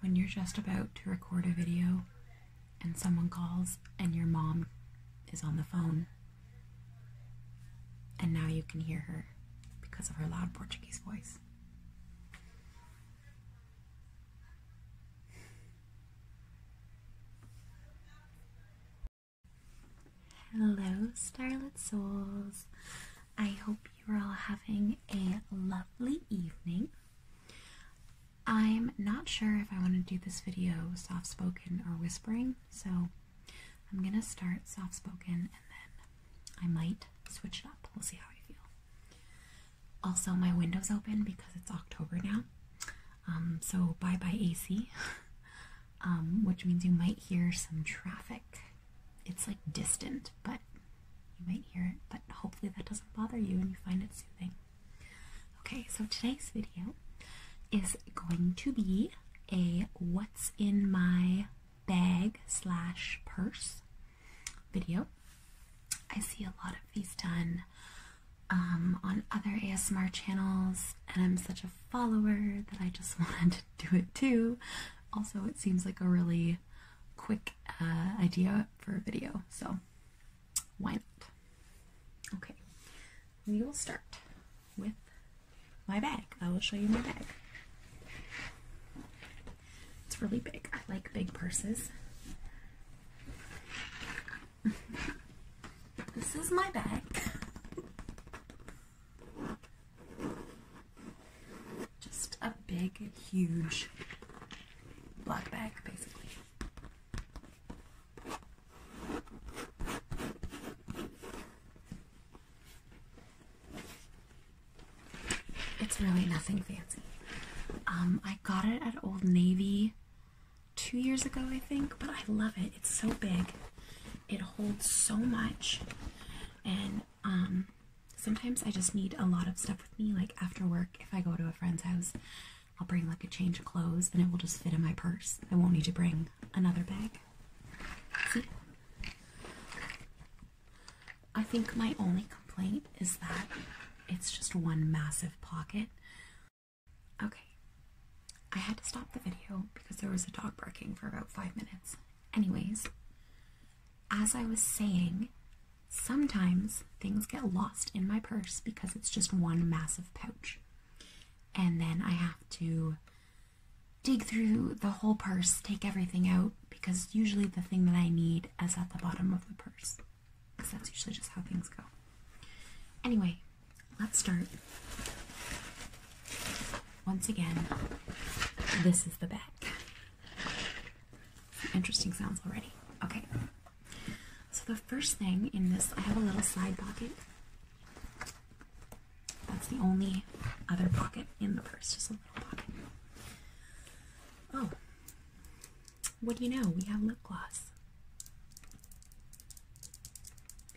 When you're just about to record a video and someone calls and your mom is on the phone, and now you can hear her because of her loud Portuguese voice. Hello, Starlit Souls. I hope you're all having a lovely evening. I'm not sure if I want to do this video soft spoken or whispering, so I'm gonna start soft spoken and then I might switch it up. We'll see how I feel. Also, my window's open because it's October now, um, so bye bye AC, um, which means you might hear some traffic. It's like distant, but you might hear it, but hopefully that doesn't bother you and you find it soothing. Okay, so today's video is going to be a what's in my bag slash purse video. I see a lot of these done um, on other ASMR channels, and I'm such a follower that I just wanted to do it too. Also, it seems like a really quick uh, idea for a video, so why not? Okay, we will start with my bag. I will show you my bag. It's really big. I like big purses. this is my bag. Just a big, huge black bag, basically. It's really nothing fancy. Um, I got it at Old Navy two years ago, I think, but I love it. It's so big, it holds so much, and um, sometimes I just need a lot of stuff with me. Like after work, if I go to a friend's house, I'll bring like a change of clothes and it will just fit in my purse. I won't need to bring another bag. See? I think my only complaint is that it's just one massive pocket. Okay. I had to stop the video because there was a dog barking for about five minutes. Anyways, as I was saying, Sometimes things get lost in my purse because it's just one massive pouch. And then I have to dig through the whole purse, take everything out, because usually the thing that I need is at the bottom of the purse. Because that's usually just how things go. Anyway, let's start. Once again, this is the back interesting sounds already. Okay. So the first thing in this, I have a little side pocket. That's the only other pocket in the purse, just a little pocket. Oh, what do you know? We have lip gloss.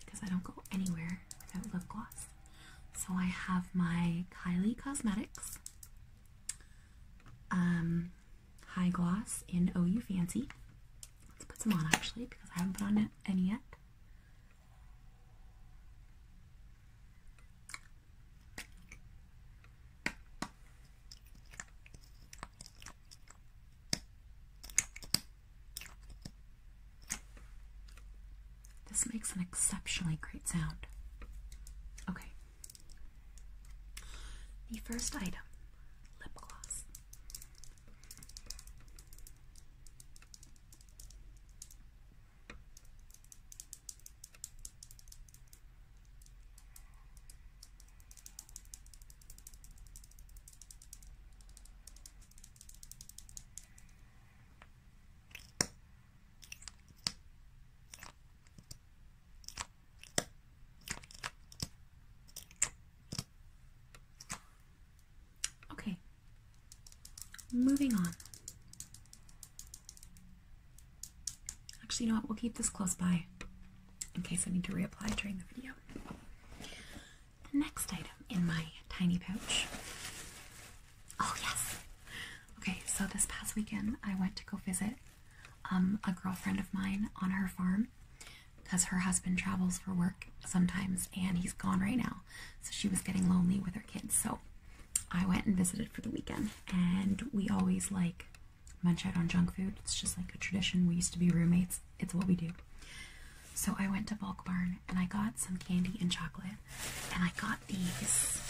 Because I don't go anywhere without lip gloss. So I have my Kylie Cosmetics um, high Gloss in Oh You Fancy. Let's put some on actually because I haven't put on any yet. This makes an exceptionally great sound. Okay, the first item lip gloss. Okay, moving on. Actually, you know what? We'll keep this close by in case I need to reapply during the video. next item in my tiny pouch Oh yes. Okay, so this past weekend I went to go visit um, a girlfriend of mine on her farm because her husband travels for work sometimes and he's gone right now. So she was getting lonely with her kids. So I went and visited for the weekend and we always like munch out on junk food. It's just like a tradition. We used to be roommates. It's what we do. So I went to Bulk Barn and I got some candy and chocolate and I got these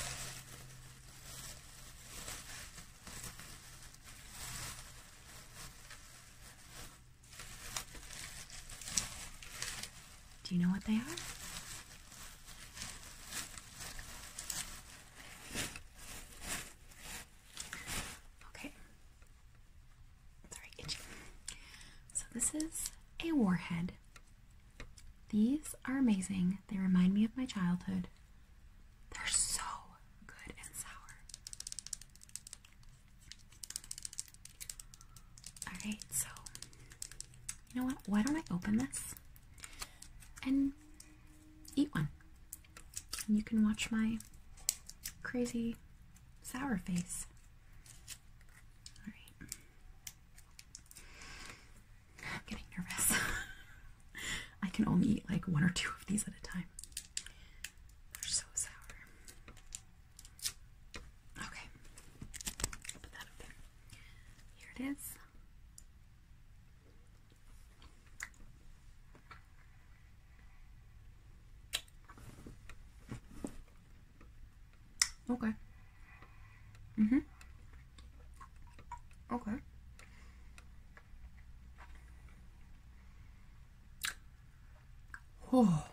do you know what they are? Okay. Sorry, itchy. So this is a warhead. These are amazing. They remind me of my childhood. They're so good and sour. Alright, so you know what? Why don't I open this and eat one? And you can watch my crazy sour face. Alright. I'm getting nervous. I can only eat like one or two of these at a time. They're so sour. Okay. Put that up there. Here it is. Okay. Mm-hmm. Okay. Oh.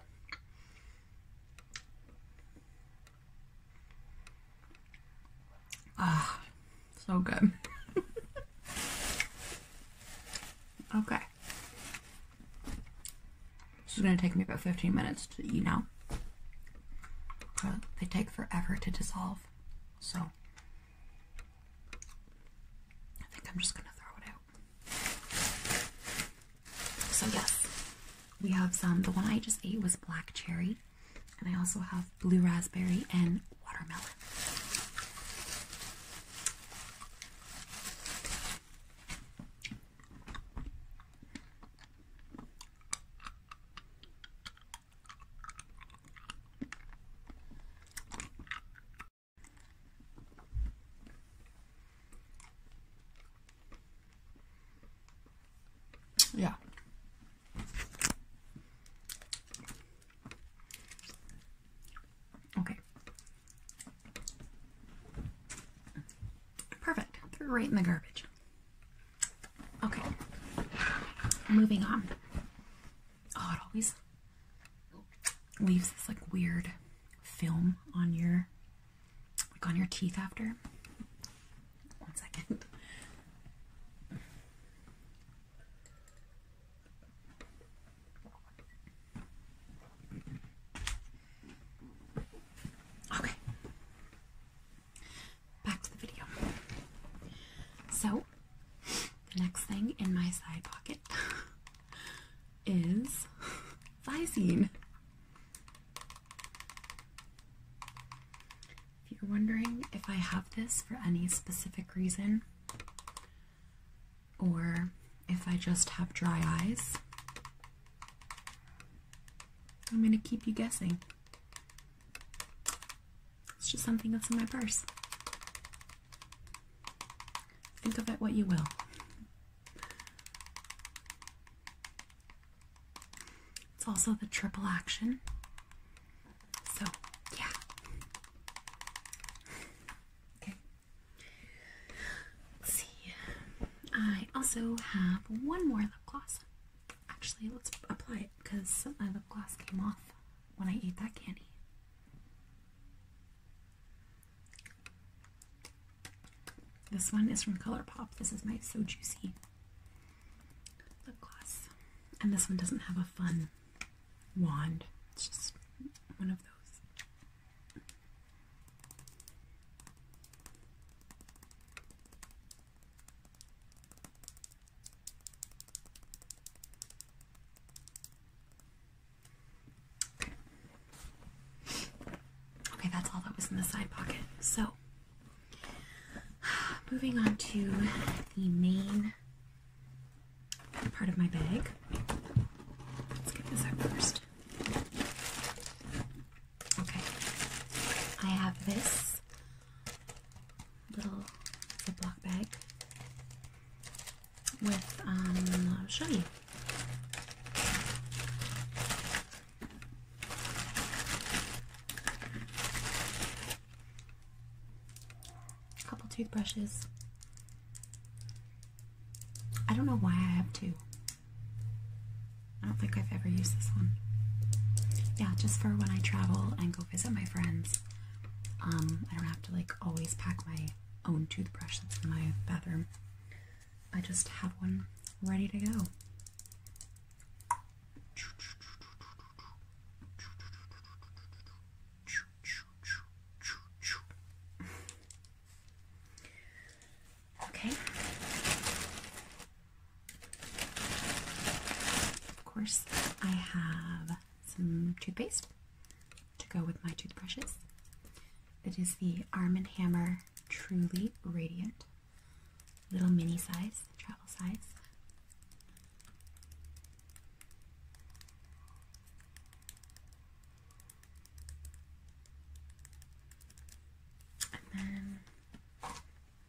Ah, so good. okay. This is going to take me about 15 minutes to, eat now. they take forever to dissolve. So I think I'm just gonna throw it out. So yes, we have some. The one I just ate was black cherry, and I also have blue raspberry and watermelon. Yeah. Okay. Perfect. They're right in the garbage. Okay, moving on. Oh, it always leaves this like weird film on your like on your teeth after. One second. Okay. Back to the video. So, the next thing in my side pocket is Visine. If you're wondering if I have this for any specific reason, or if I just have dry eyes, I'm going to keep you guessing. It's just something that's in my purse. Think of it what you will. It's also the triple action. So, yeah. Okay. see. I also have one more lip gloss. Actually, let's apply it because my lip gloss came off when I ate that candy. This one is from ColourPop. This is my So Juicy lip gloss. And this one doesn't have a fun wand. It's just one of those. Okay, that's all that was in the side pocket. So, moving on to the main part of my bag. Let's get this out first. Okay, I have this little Ziploc bag with, um, I'll show you. A couple toothbrushes. I don't know why I have two. I don't think I've ever used this one yeah, just for when I travel and go visit my friends. Um, I don't have to like always pack my own toothbrush that's in my bathroom. I just have one ready to go. Okay. Of course, I have some toothpaste to go with my toothbrushes. It is the Arm & Hammer Truly Radiant. Little mini size, travel size. And then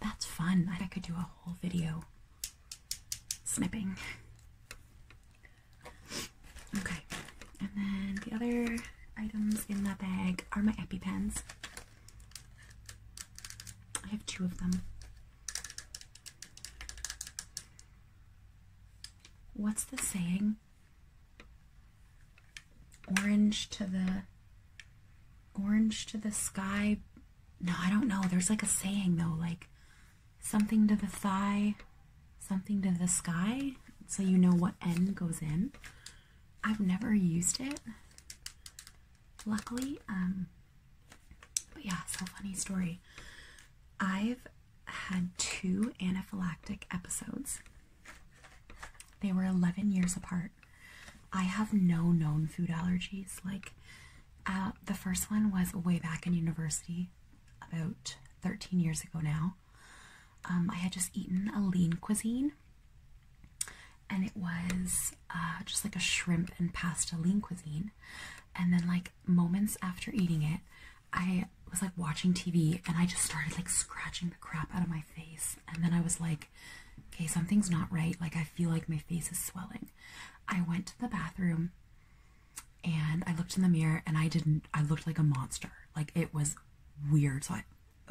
That's fun. I could do a whole video snipping. Okay, and then the other items in that bag are my EpiPens. I have two of them. What's the saying? orange to the orange to the sky. No, I don't know. There's like a saying though, like something to the thigh, something to the sky, so you know what N goes in. I've never used it. Luckily, um but yeah, so funny story. I've had two anaphylactic episodes they were 11 years apart. I have no known food allergies. Like, uh, the first one was way back in university, about 13 years ago now. Um, I had just eaten a lean cuisine, and it was uh, just like a shrimp and pasta lean cuisine. And then, like, moments after eating it, I was like watching TV and I just started like scratching the crap out of my face. And then I was like, okay, something's not right. Like, I feel like my face is swelling. I went to the bathroom and I looked in the mirror and I didn't, I looked like a monster. Like, it was weird. So I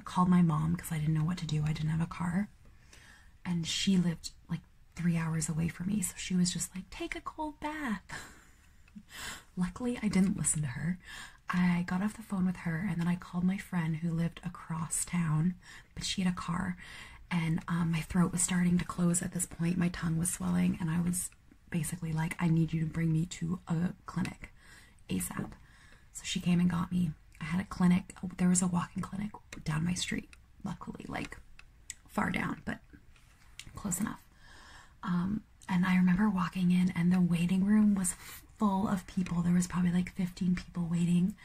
called my mom because I didn't know what to do. I didn't have a car. And she lived like three hours away from me. So she was just like, take a cold bath. Luckily, I didn't listen to her. I got off the phone with her and then I called my friend who lived a across town, but she had a car, and um, my throat was starting to close at this point. My tongue was swelling, and I was basically like, I need you to bring me to a clinic ASAP. So she came and got me. I had a clinic, there was a walk in clinic down my street, luckily, like far down, but close enough. Um, and I remember walking in, and the waiting room was full of people. There was probably like 15 people waiting.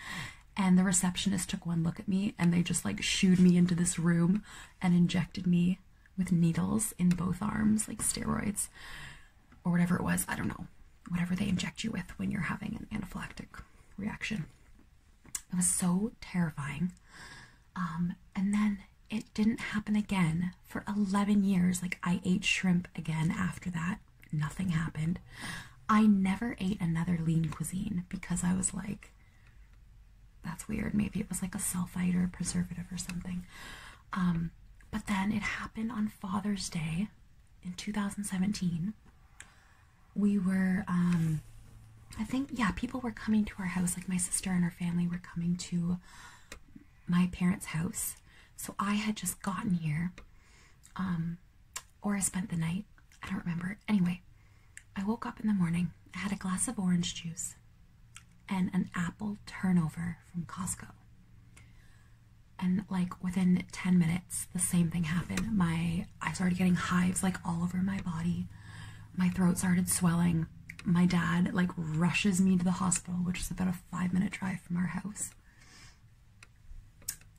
And the receptionist took one look at me and they just like shooed me into this room and injected me with needles in both arms, like steroids or whatever it was. I don't know. Whatever they inject you with when you're having an anaphylactic reaction. It was so terrifying. Um, and then it didn't happen again for 11 years. Like, I ate shrimp again after that nothing happened. I never ate another lean cuisine because I was like, that's weird. Maybe it was like a sulfite or preservative or something. Um, but then it happened on Father's Day in 2017. We were, um, I think, yeah, people were coming to our house. Like my sister and her family were coming to my parents' house. So I had just gotten here um, or I spent the night. I don't remember. Anyway, I woke up in the morning. I had a glass of orange juice and an apple turnover from Costco. And like within 10 minutes, the same thing happened. My I started getting hives like all over my body. My throat started swelling. My dad like rushes me to the hospital, which is about a 5-minute drive from our house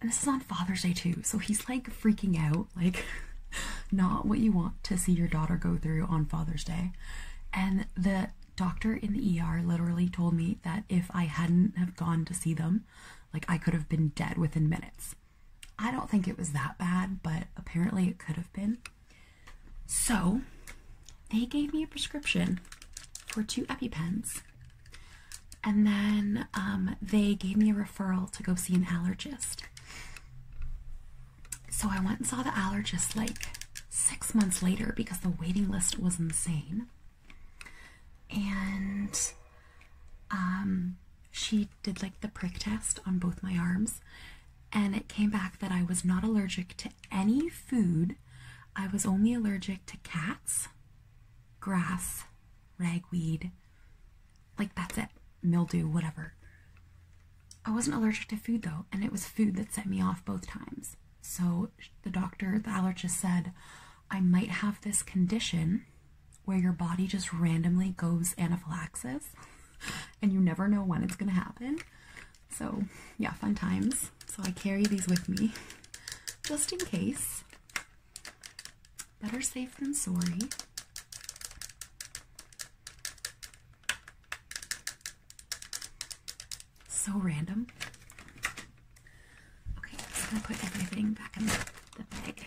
and this is on Father's Day too, so he's like freaking out, like not what you want to see your daughter go through on Father's Day. And the doctor in the ER literally told me that if I hadn't have gone to see them, like I could have been dead within minutes. I don't think it was that bad, but apparently it could have been. So they gave me a prescription for two EpiPens and then um, they gave me a referral to go see an allergist. So I went and saw the allergist like six months later because the waiting list was insane. And um, she did like the prick test on both my arms. And it came back that I was not allergic to any food. I was only allergic to cats grass, ragweed, like that's it, mildew, whatever. I wasn't allergic to food though, and it was food that set me off both times. So the doctor, the allergist said, I might have this condition where your body just randomly goes anaphylaxis and you never know when it's going to happen. So, yeah, fun times. So I carry these with me just in case. Better safe than sorry. So random. Okay, I'm gonna put everything back in the bag.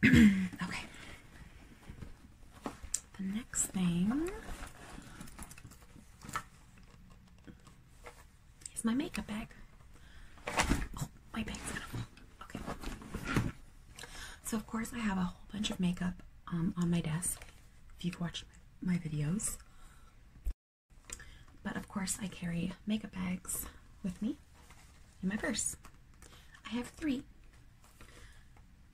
okay. The next thing is my makeup bag. Oh, my bag's gonna fall. Okay. So of course I have a whole bunch of makeup um, on my desk. If you've watched my videos. But of course I carry makeup bags with me in my purse. I have three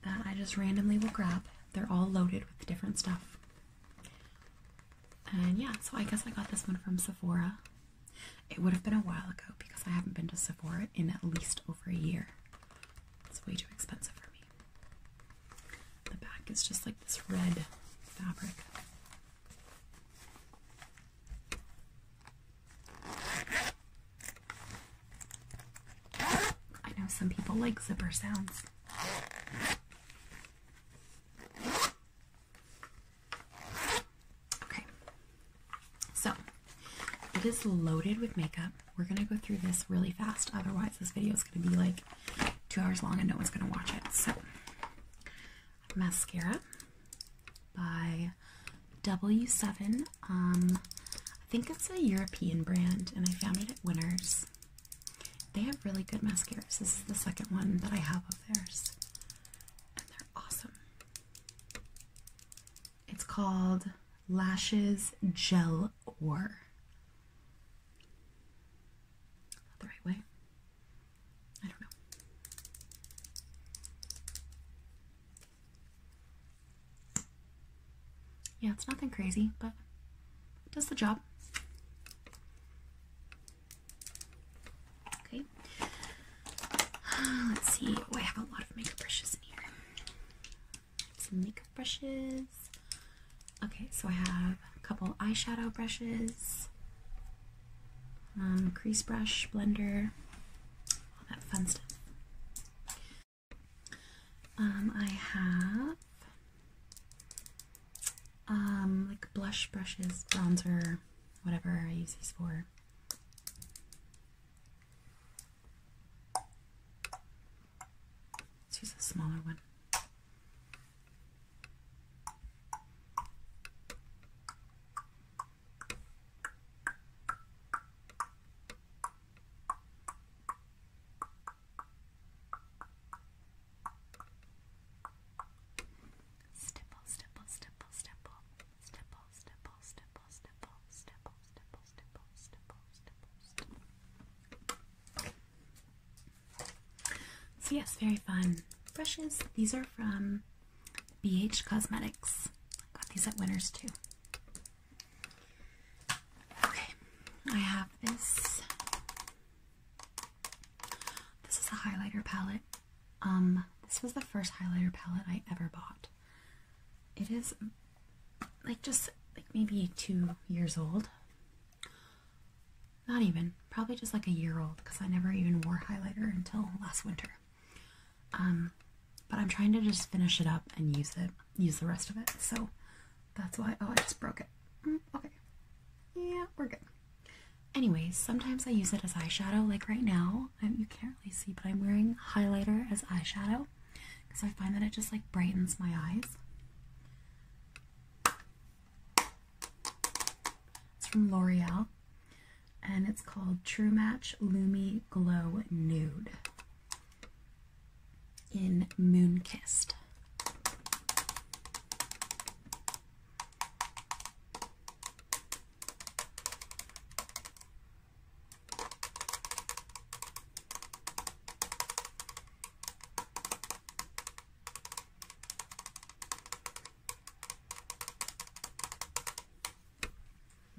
that I just randomly will grab. They're all loaded with different stuff. And yeah, so I guess I got this one from Sephora. It would have been a while ago because I haven't been to Sephora in at least over a year. It's way too expensive for me. The back is just like this red fabric. I know some people like zipper sounds. Okay, so it is loaded with makeup. We're gonna go through this really fast, otherwise, this video is gonna be like two hours long and no one's gonna watch it. So, mascara by W7. Um, I think it's a European brand, and I found it at Winners. They have really good mascaras. This is the second one that I have of theirs, and they're awesome. It's called Lashes Gel Or. Not the right way. I don't know. Yeah, it's nothing crazy, but does the job. Okay. Let's see. Oh, I have a lot of makeup brushes in here. Some makeup brushes. Okay, so I have a couple eyeshadow brushes, um, crease brush, blender, all that fun stuff. Um, I have um, like blush brushes, bronzer, whatever I use these for. Let's use a smaller one. Stipple, stipple, stipple, stipple, stipple, stipple, stipple, stipple, stipple, stipple, stipple, stipple, So yes, very fun brushes. These are from BH Cosmetics. got these at Winners too. Okay, I have this. This is a highlighter palette. Um, this was the first highlighter palette I ever bought. It is like just like maybe two years old. Not even, probably just like a year old because I never even wore highlighter until last winter. Um, but I'm trying to just finish it up and use it, use the rest of it. So that's why, oh, I just broke it. Mm, okay. Yeah, we're good. Anyways, sometimes I use it as eyeshadow, like right now. you can't really see, but I'm wearing highlighter as eyeshadow because I find that it just like brightens my eyes. It's from L'Oreal and it's called True Match Lumi Glow Nude in Moonkissed.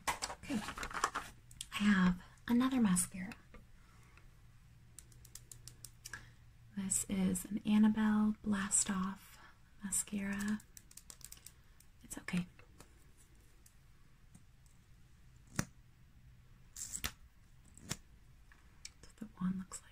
Okay, I have another mascara. This is an Annabelle Blast Off mascara. It's okay. That's what the wand looks like.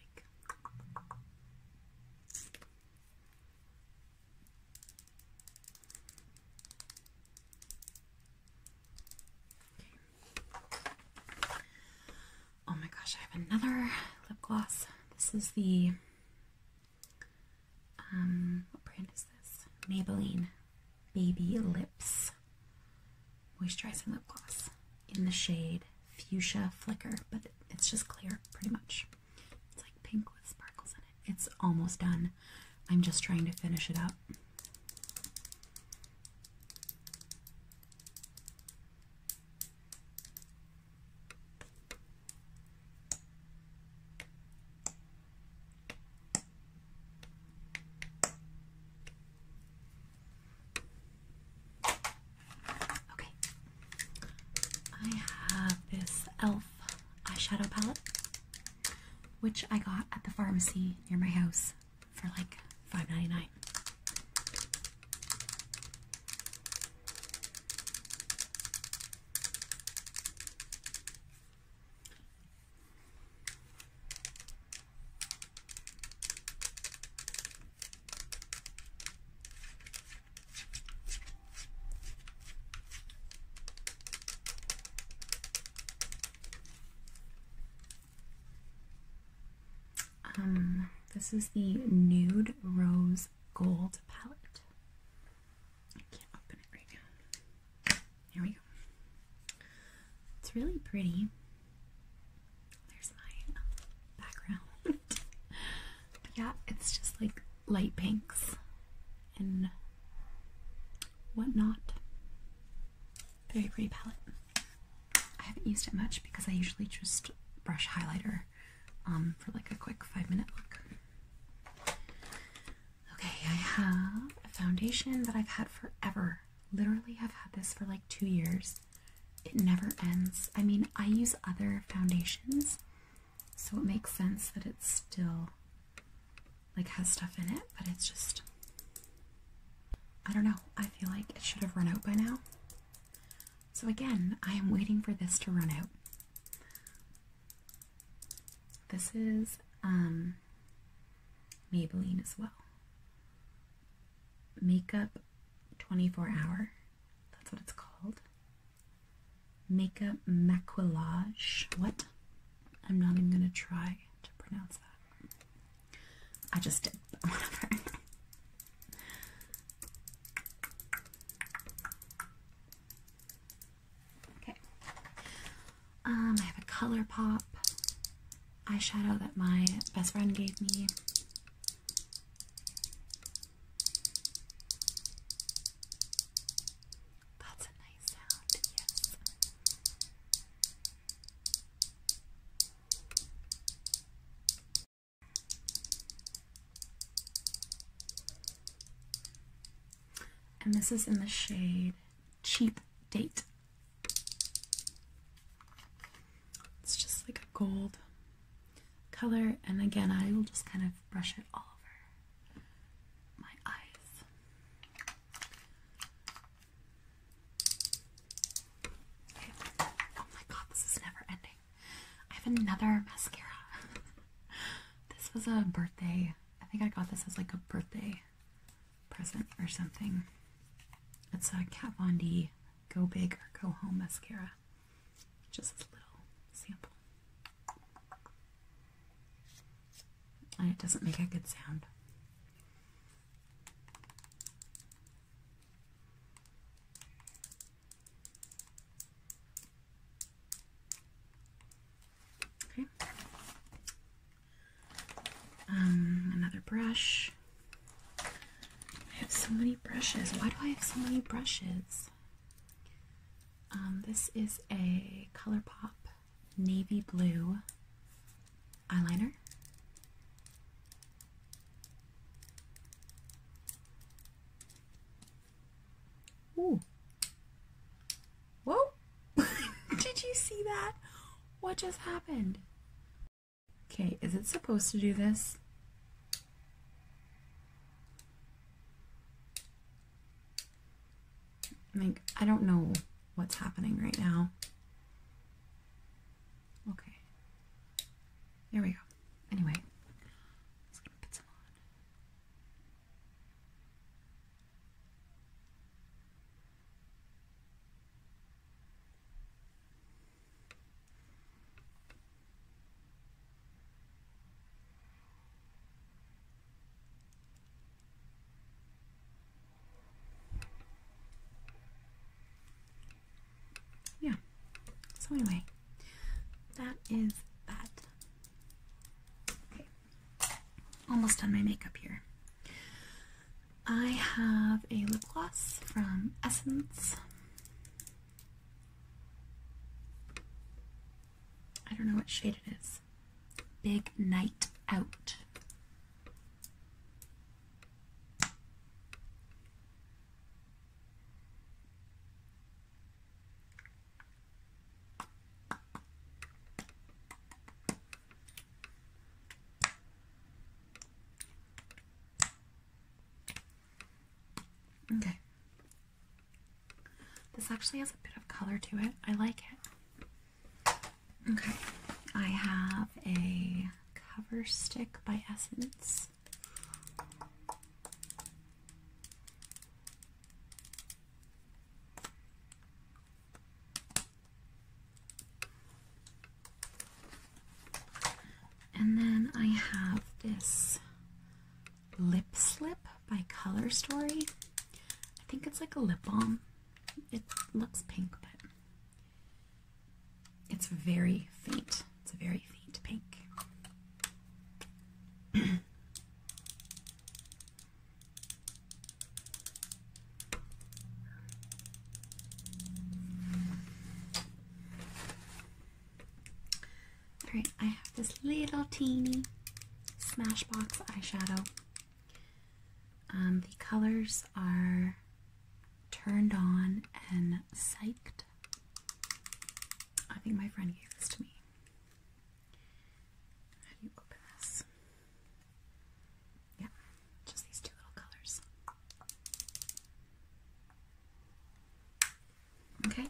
Oh my gosh, I have another lip gloss. This is the um what brand is this? Maybelline Baby Lips Moisturizing Lip Gloss in the shade Fuchsia Flicker, but it's just clear pretty much. It's like pink with sparkles in it's almost done. I'm just trying to finish it up. Okay, I have this e.l.f. eyeshadow palette which I got at the pharmacy near my house for like $5.99. Um, this is the Nude Rose Gold palette. I can't open it right now. Here we go. It's really pretty. There's my um, background. yeah, it's just like light pinks and whatnot. Very pretty palette. I haven't used it much because I usually just brush highlighter um, for like a quick five minute look. Okay, I have a foundation that I've had forever. Literally, I've had this for like two years. It never ends. I mean, I use other foundations, so it makes sense that it's still like has stuff in it, but it's just I don't know. I feel like it should have run out by now. So again, I am waiting for this to run out. This is um Maybelline as well. Makeup 24 hour. That's what it's called. Makeup maquillage. What? I'm not even gonna try to pronounce that. I just did, but whatever. okay. Um, I have a ColourPop eyeshadow that my best friend gave me. That's a nice sound, And this is in the shade Cheap Date. It's just like a gold color, and again, I will just kind of brush it all over my eyes. Oh my god, this is never ending. I have another mascara. this was a birthday. I think I got this as like a birthday present or something. It's a Kat Von D Go Big or Go Home mascara. Just a little sample and it doesn't make a good sound. Okay. Um, another brush. I have so many brushes. Why do I have so many brushes? Um, this is a ColourPop navy blue eyeliner. Ooh. Whoa! Did you see that? What just happened? Okay, is it supposed to do this? Like, I don't know what's happening right now. Okay. There we go. Anyway, I'm put some on. Yeah. So anyway, that is that. Okay. Almost done my makeup here. I have a lip gloss from Essence. I don't know what shade it is big night out. Okay. This actually has a bit of color to it. I like it. Okay, I have a cover stick by Essence. And then I have this Lip Slip by Color Story. I think it's like a lip balm. It looks pink, but it's very faint. It's a very faint pink. Alright, I have this little teeny Smashbox eyeshadow. Um, the colors are turned on and psyched. I think my friend gave this to me. How do you open this? Yeah, just these two little colors. Okay,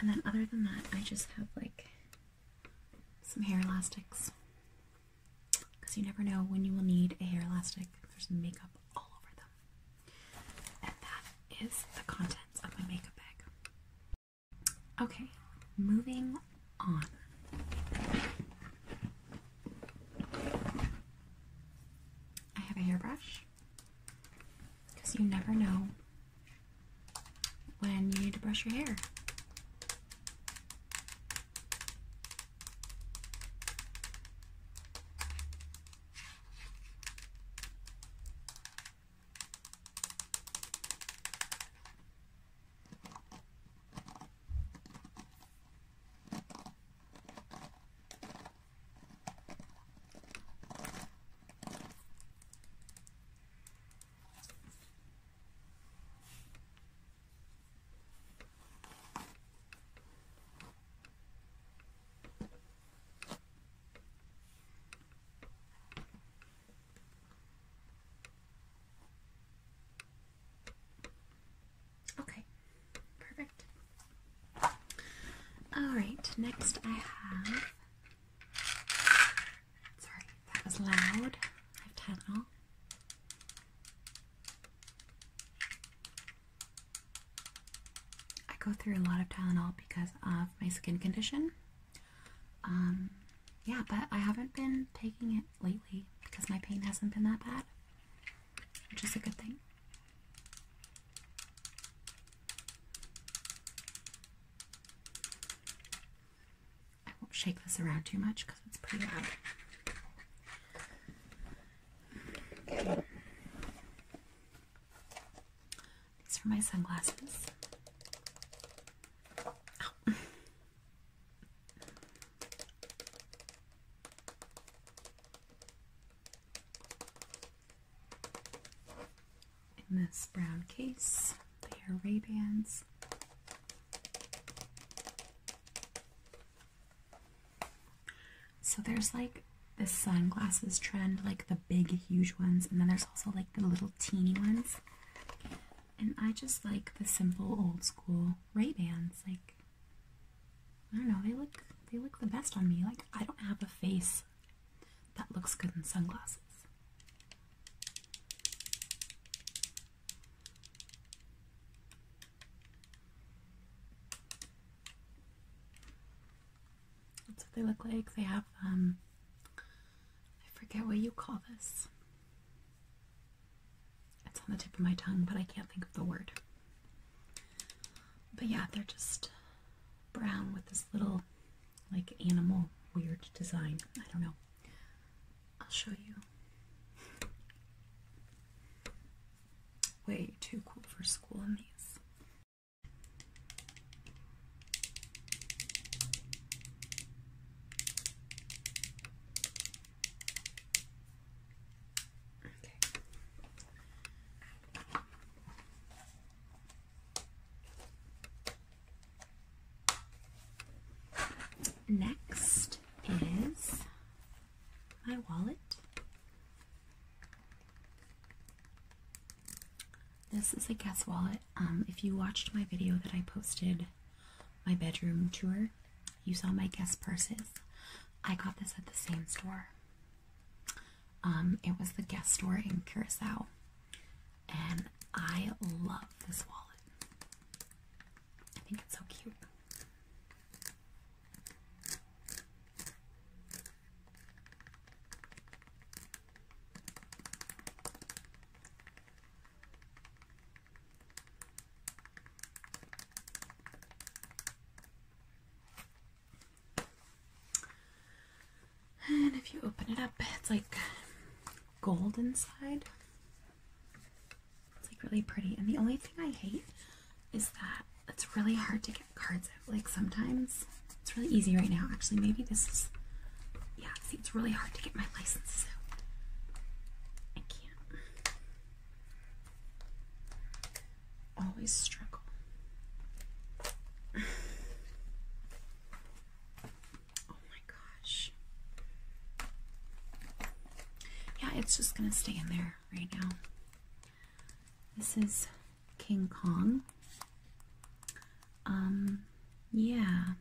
and then other than that, I just have like some hair elastics because you never know when you will need a hair elastic. There's makeup all over them. And that is the contents of my makeup bag. Okay, moving on. I have a hairbrush because you never know when you need to brush your hair. Okay, perfect. All right, next I have Sorry, that was loud. I Tylenol. I go through a lot of Tylenol because of my skin condition. Um, yeah, but I haven't been taking it lately because my pain hasn't been that bad, which is a good thing. I won't shake this around too much because it's pretty loud. These are my sunglasses in this brown case. They are Ray-Bans. So there's like the sunglasses trend, like the big, huge ones, and then there's also like the little teeny ones. And I just like the simple, old school Ray-Bans. Like, I don't know, they look they look the best on me. Like, I don't have a face that looks good in sunglasses. That's what they look like. They have, um, I forget what you call this. It's on the tip of my tongue, but I can't think of the word. But yeah, they're just brown with this little like animal weird design. I don't know. I'll show you. Way too cool for school in these. Okay. Next is my wallet. This is a guest wallet. Um, if you watched my video that I posted, my bedroom tour, you saw my guest purses. I got this at the same store. Um, it was the guest store in Curacao and I love this wallet. I think it's so cute. And if you open it up, it's like gold inside. It's like really pretty. And the only thing I hate is that it's really hard to get cards out. Like sometimes it's really easy right now. Actually, maybe this is yeah, see it's really hard to get my license out. I can't. Always struggle. Oh my gosh. Yeah, it's just gonna stay in there right now. This is King Kong. Um, yeah.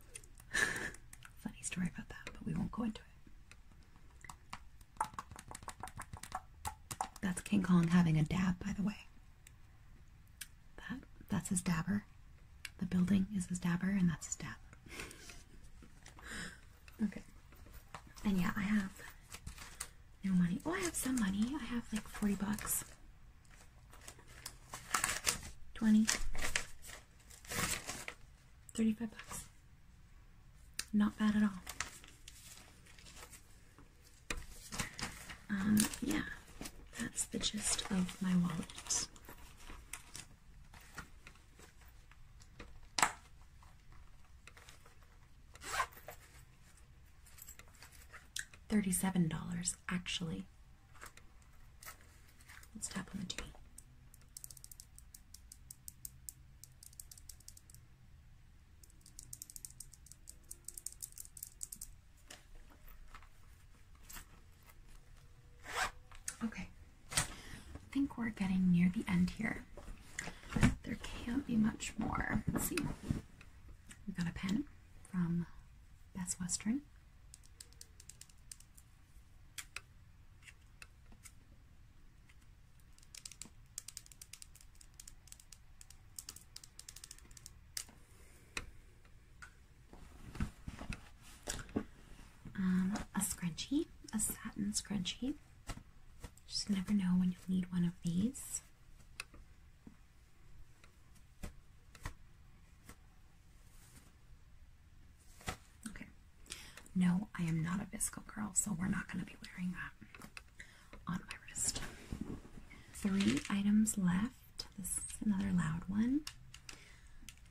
Funny story about that, but we won't go into it. That's King Kong having a dab, by the way. That that's his dabber. The building is his dabber, and that's his dab. okay. And yeah, I have no money. Oh, I have some money. I have like forty bucks. Twenty. Thirty-five bucks. Not bad at all. Um, yeah, that's the gist of my wallet. Thirty-seven dollars, actually. Let's tap on the TV. Okay, I think we're getting near the end here. There can't be much more. Let's see. We got a pen from Best Western. Um, a scrunchie, a satin scrunchie. Just never know when you will need one of these. Okay. No, I am not a Visco girl, so we're not going to be wearing that on my wrist. Three items left. This is another loud one.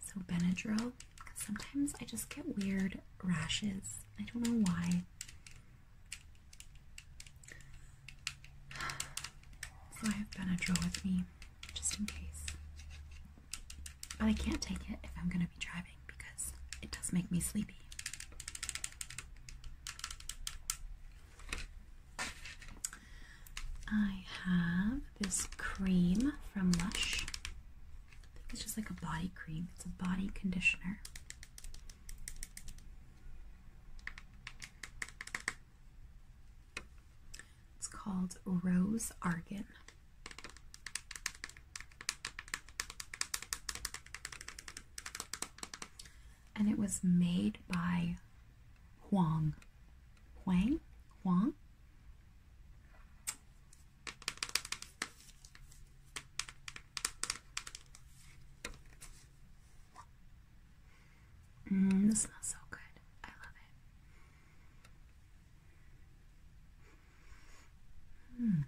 So Benadryl. Sometimes I just get weird rashes. I don't know why. So I have Benadryl with me just in case. But I can't take it if I'm going to be driving because it does make me sleepy. I have this cream from Lush. It's just like a body cream. It's a body conditioner. It's called Rose Argan. And it was made by Huang. Huang? Huang? Mm, this smells so good. I love it. Mm.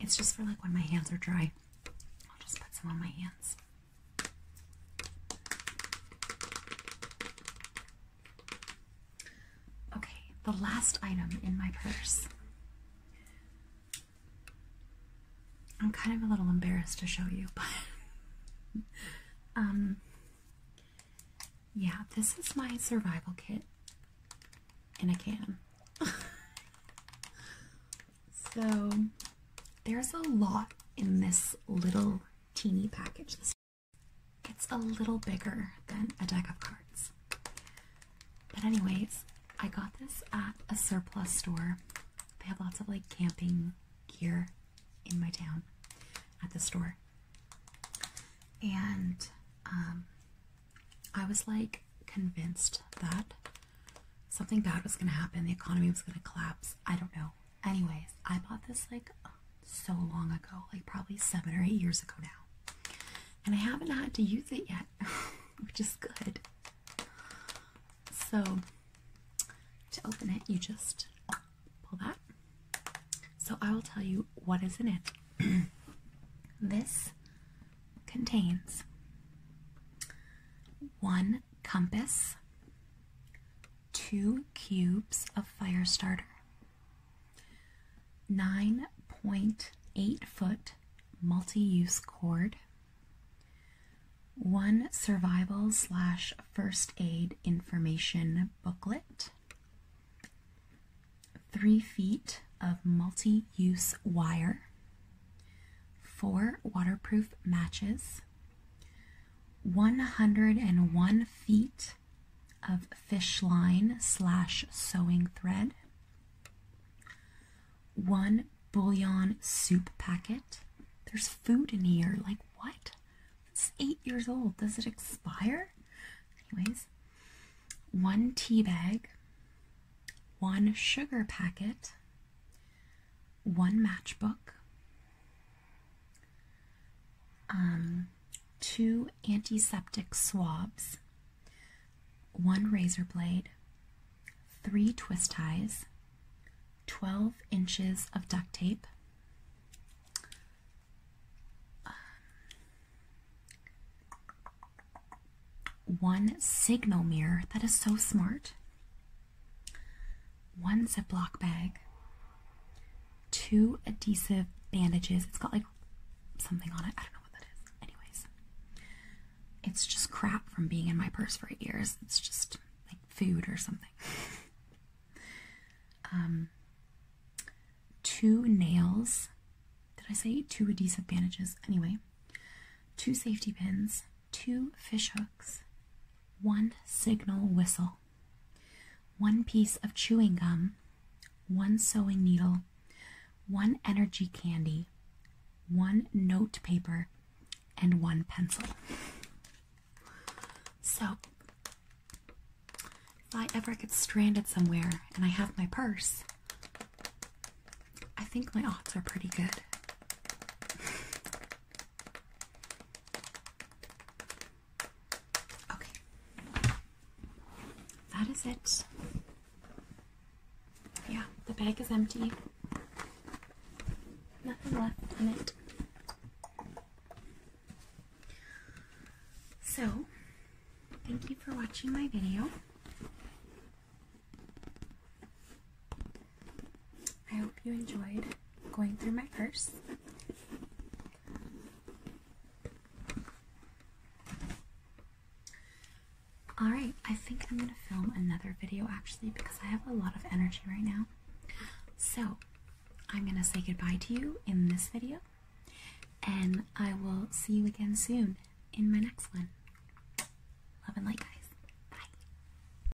It's just for like when my hands are dry. I'll just put some on my hands. Okay, the last item in my purse. I'm kind of a little embarrassed to show you, but um yeah, this is my survival kit in a can. So there's a lot in this little teeny package. It's a little bigger than a deck of cards. But anyways, I got this at a surplus store. They have lots of like camping gear in my town at the store. And um, I was like convinced that something bad was going to happen. The economy was going to collapse. I don't know. Anyways, I bought this like so long ago, like probably seven or eight years ago now. And I haven't had to use it yet, which is good. So, to open it, you just pull that. So, I will tell you what is in it. this contains one compass, two cubes of fire starter, 9.8 foot multi use cord, one survival slash first aid information booklet, three feet of multi use wire, four waterproof matches. 101 feet of fish line slash sewing thread, one bouillon soup packet. There's food in here. Like, what? It's eight years old. Does it expire? Anyways, one tea bag, one sugar packet, one matchbook, um, two antiseptic swabs, one razor blade, three twist ties, 12 inches of duct tape, um, one signal mirror that is so smart one ziplock bag, two adhesive bandages. It's got like something on it. I don't know what that is. Anyways, it's just crap from being in my purse for years. It's just like food or something. um, two nails. Did I say two adhesive bandages? Anyway, two safety pins, two fishhooks, one signal whistle, one piece of chewing gum, one sewing needle, one energy candy, one note paper, and one pencil. So, if I ever get stranded somewhere and I have my purse, I think my odds are pretty good. Okay. That is it. Yeah, the bag is empty. Nothing left in it. So, thank you for watching my video. I hope you enjoyed going through my purse. Alright, I think I'm going to film another video actually because I have a lot of energy right now. So, I'm going to say goodbye to you in this video, and I will see you again soon in my next one. Love and light, guys. Bye.